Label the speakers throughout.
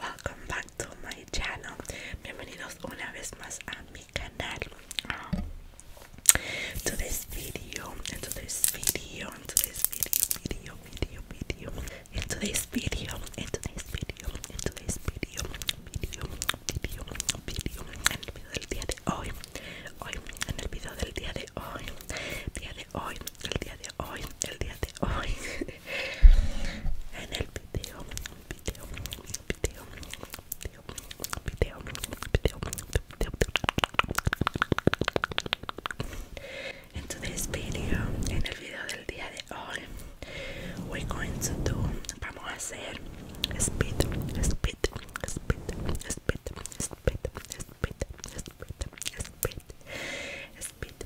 Speaker 1: welcome back to my channel bienvenidos una vez más a mi canal ah. Today's to this video video video video video video video video video video el video del día de hoy hoy en el video del día de hoy día de hoy el día de hoy el día de hoy en el video, el video, el video, video, video, video, video, In today's video, en el video del día de hoy, we're going to do, vamos a hacer speed, speed, speed, speed, speed, speed, speed, speed, speed,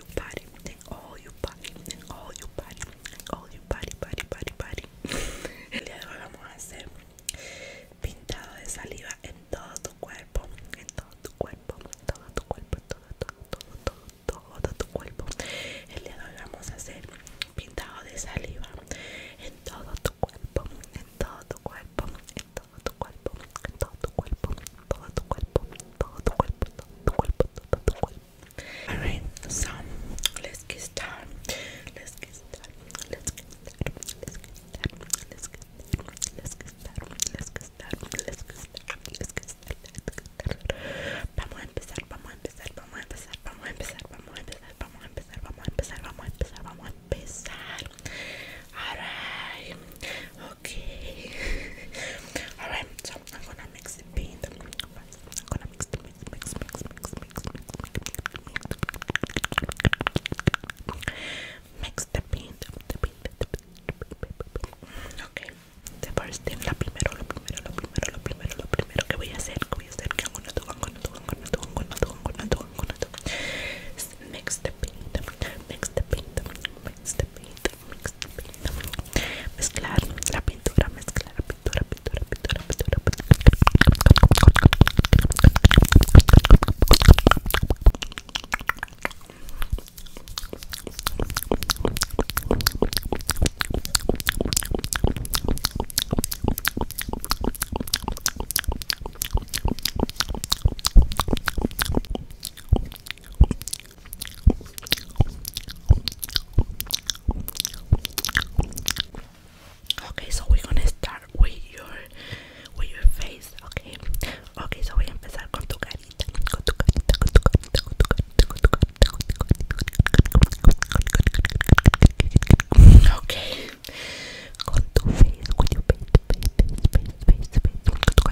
Speaker 1: your body, all all El le vamos a hacer pintado de saliva en todo tu cuerpo, en todo tu cuerpo, en todo tu cuerpo, en todo, todo, todo, todo, todo, tu cuerpo. El le vamos a hacer pintado de saliva en todo tu cuerpo, en todo tu cuerpo, en todo tu cuerpo, en todo tu cuerpo, Alright, so let's get started. Let's get started. Let's get started. Let's get started. Let's get started. Let's get started. Let's get started. Let's get started. Let's get started. Vamos a empezar. Vamos a empezar. Vamos a empezar. Vamos a empezar. Vamos a empezar. Vamos Alright. Okay. Alright, so I'm gonna mix the paint. I'm gonna mix the mix, mix, mix, mix, mix, mix. Mix the paint, the paint, the paint. Okay. The first thing, la primero, lo primero, lo primero, lo primero, lo primero que voy a hacer, que voy a hacer, que I'm gonna do, I'm gonna do, I'm gonna do, I'm gonna do, I'm gonna do, I'm gonna do. Mix the paint, mix the paint, mix the paint, mezclar la pintura, mezclar la pintura, pintura, pintura, pintura, pintura. Okay, so we're gonna start with your with your face, okay? Okay, so voy a empezar con tu carita, con tu carita, con tu carita, con tu carita, con tu carita, con tu carita. Okay. Con tu face, con your face, face, face, face, face, con tu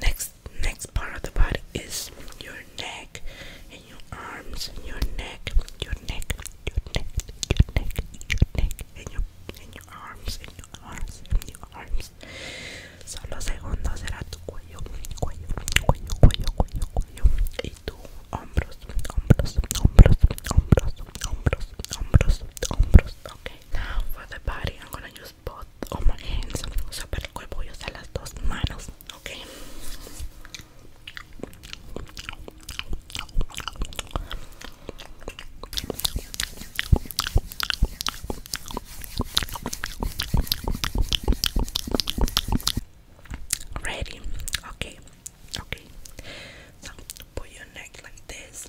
Speaker 1: Next next part of the body is your neck and your arms and your neck, your neck, your neck, your neck, your neck, and your and your arms and your arms and your arms. Solo segundo será tu cuello, cuello, cuello, cuello, cuello, cuello. Y tu hombros, hombros, hombros, hombros, hombros, hombros, hombros, hombros. Ok now for the body, I'm gonna use both of my hands. So, para el cuerpo voy a usar las dos manos. Okay. Ready? Okay, okay. So, put your neck like this.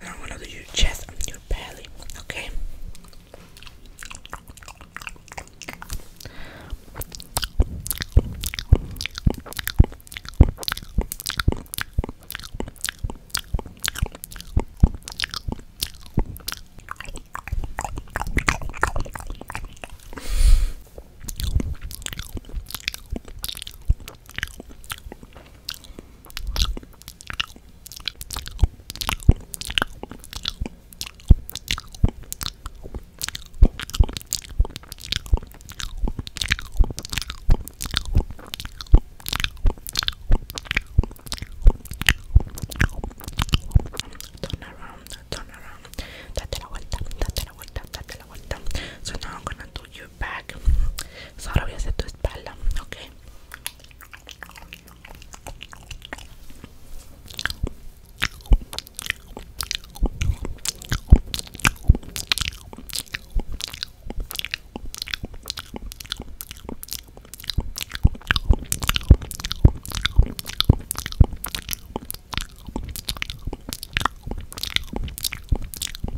Speaker 1: Now I'm gonna do your chest and your belly, okay? Turn around, turn around, date la vuelta, date la vuelta, date la vuelta. So now I'm gonna do you your So, ahora voy a hacer tu espalda, ok.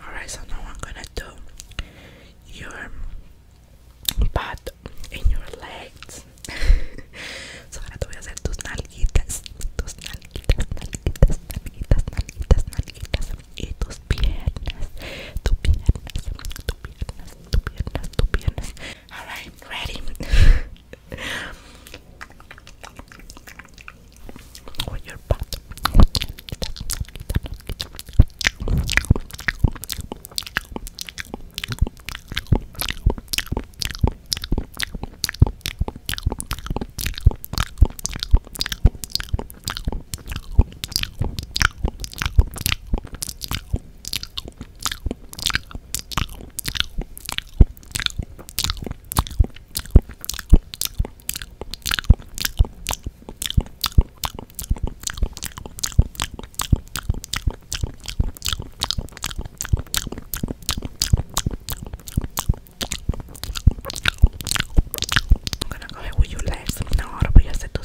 Speaker 1: Alright, so now I'm gonna do your butt in your legs. so ahora te voy a hacer tus nalguitas, tus nalguitas, nalguitas, nalguitas, nalguitas, nalguitas y tus piernas, tu piernas, tu piernas, tu piernas, tu piernas. Alright, ready? Or your butt. I'm gonna go ahead with your legs. Now, ahora voy a hacer tu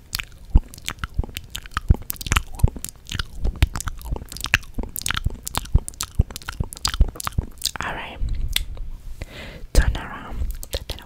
Speaker 1: All right, turn around, date la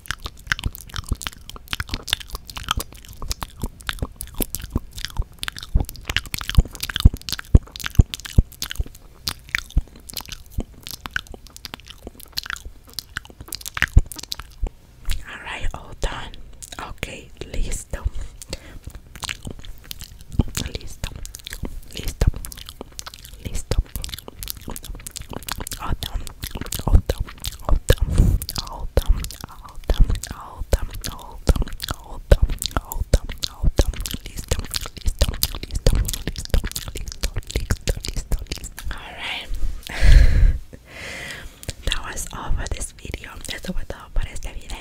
Speaker 1: All right, all done. Okay, listo. Listo. Listo. Listo. All done. All done. All done. All Alright. that was all for this video. Esto fue all for este video.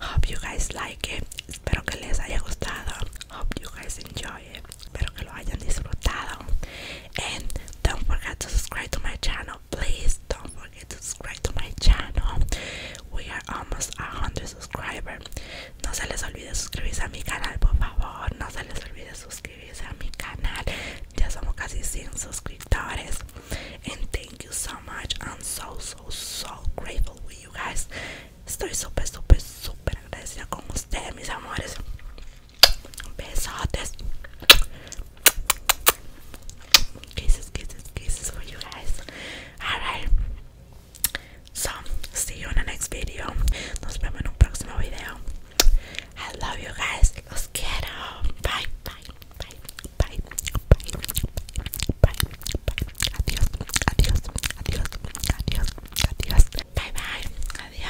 Speaker 1: Hope you guys like it. Espero que les haya gustado. Hope you guys enjoy it. Espero que lo hayan disfrutado and don't forget to subscribe to my channel please don't forget to subscribe to my channel we are almost 100 subscribers no se les olvide suscribirse a mi canal por favor no se les olvide suscribirse a mi canal ya somos casi 100 suscriptores and thank you so much i'm so so so grateful with you guys estoy super super super agradecida con ustedes mis amores besotes kisses kisses kisses for you guys all right so see you in the next video nos vemos en un próximo video I love you guys los quiero bye bye bye bye bye bye bye adios adios adios adios adios bye bye adios